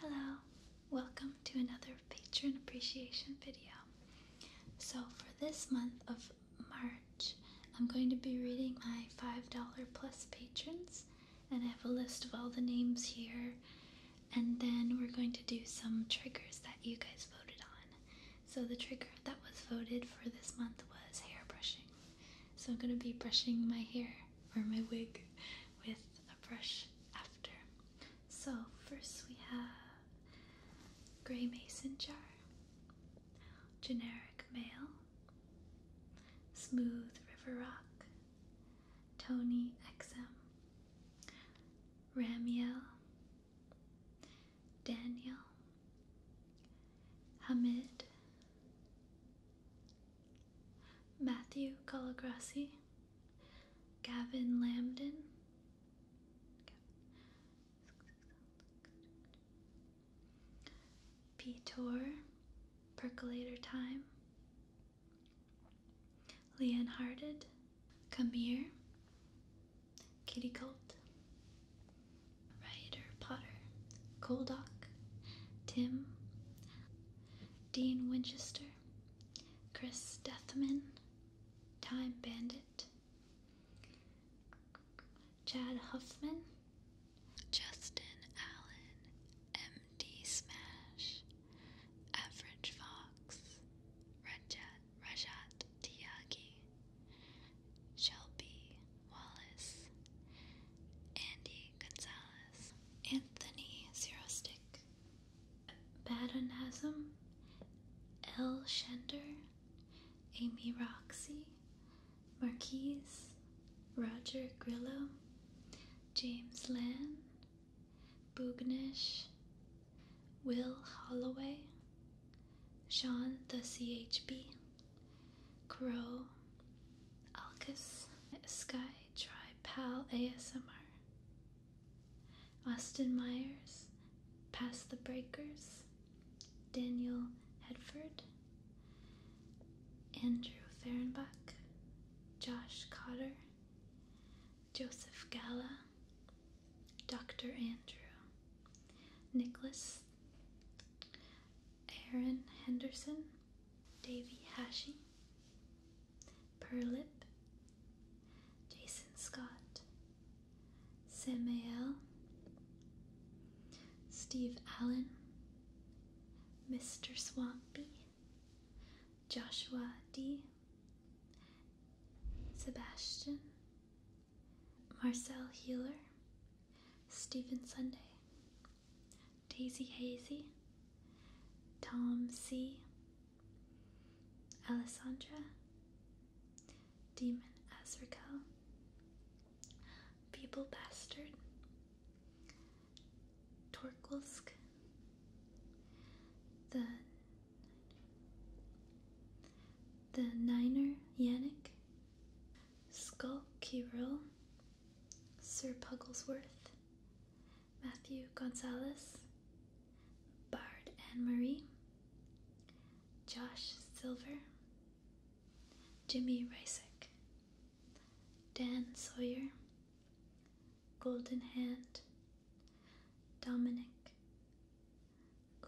Hello, welcome to another patron appreciation video. So, for this month of March, I'm going to be reading my $5 plus patrons, and I have a list of all the names here. And then we're going to do some triggers that you guys voted on. So, the trigger that was voted for this month was hair brushing. So, I'm going to be brushing my hair or my wig with a brush after. So, first we have Gray Mason Jar, Generic Male, Smooth River Rock, Tony XM, Ramiel, Daniel, Hamid, Matthew Calagrassi, Gavin Lambden, Petor, Percolator Time, Leonharded, Hearted, Kamir, Kitty Colt, Ryder Potter, Coldock, Tim, Dean Winchester, Chris Dethman, Time Bandit, Chad Huffman, Justin Allen, MD Smash, Average Fox, Rajat, Rajat Tiagi, Shelby Wallace, Andy Gonzalez, Anthony Zerostic, Baden Hazem, L. Shender, Amy Roxy, Marquise, Roger Grillo, James Land, Bugnish, Will Holloway, Sean the CHB, Crow, Alcus, Sky, try Pal ASMR. Austin Myers, Past the Breakers, Daniel Hedford, Andrew Farenbach, Josh Cotter, Joseph Gala, Dr. Andrew, Nicholas, Aaron Henderson, Davy Hashi, Perlip, Jason Scott, Samuel, Steve Allen, Mr. Swampy, Joshua D, Sebastian, Marcel Healer, Stephen Sunday, Daisy Hazy, Tom C, Alessandra, Demon Azrael, People Bastard, Torkelsk, the the Niner Yannick, Skull Kirill, Sir Pugglesworth, Matthew Gonzalez, Bard Anne Marie, Josh Silver, Jimmy Rysick, Dan Sawyer, Golden Hand, Dominic,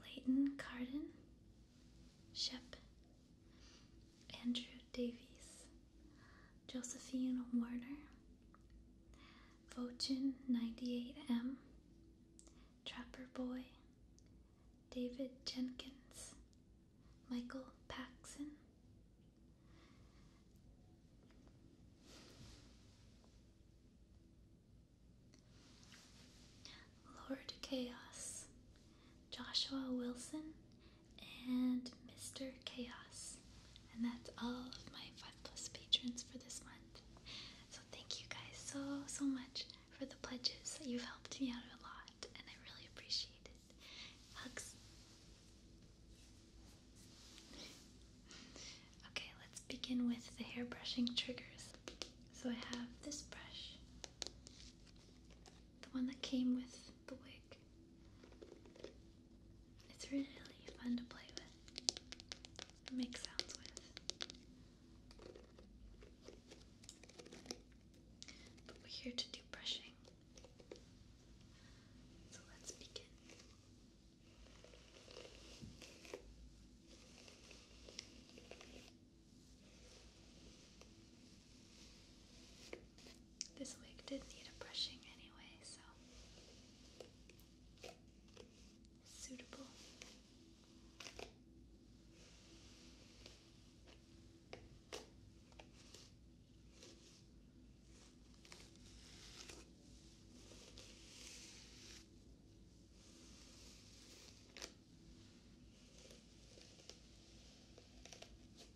Leighton Carden, Shep Andrew Davies, Josephine Warner, Vochin 98M, Trapper Boy, David Jenkins, Michael Paxson. Lord Chaos, Joshua Wilson, and Mr. Chaos. And that's all of my 5 plus patrons for this month. So thank you guys so, so much for the pledges. You've helped me out a lot, and I really appreciate it. Hugs. Okay, let's begin with the hair brushing triggers. So I have this brush, the one that came with the wig. It's really fun to play with make sounds with. But we're here to do brushing. So let's begin. This wig did need a brushing anyway, so suitable.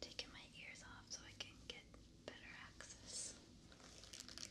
Taking my ears off so I can get better access.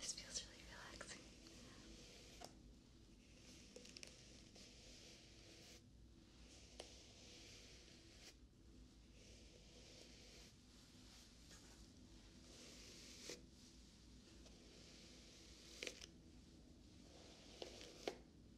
This feels really relaxing. Good.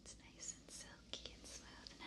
It's nice and silky and smooth now.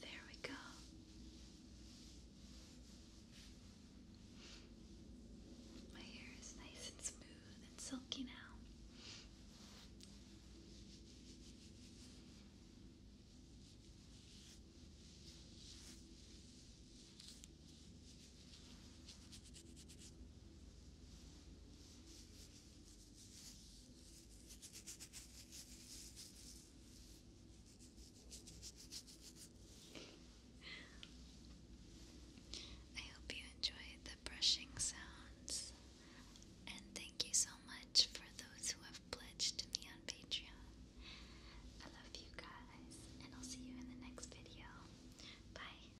there we go. My hair is nice and smooth and silky now. I hope you enjoyed the brushing sounds, and thank you so much for those who have pledged to me on Patreon. I love you guys, and I'll see you in the next video. Bye.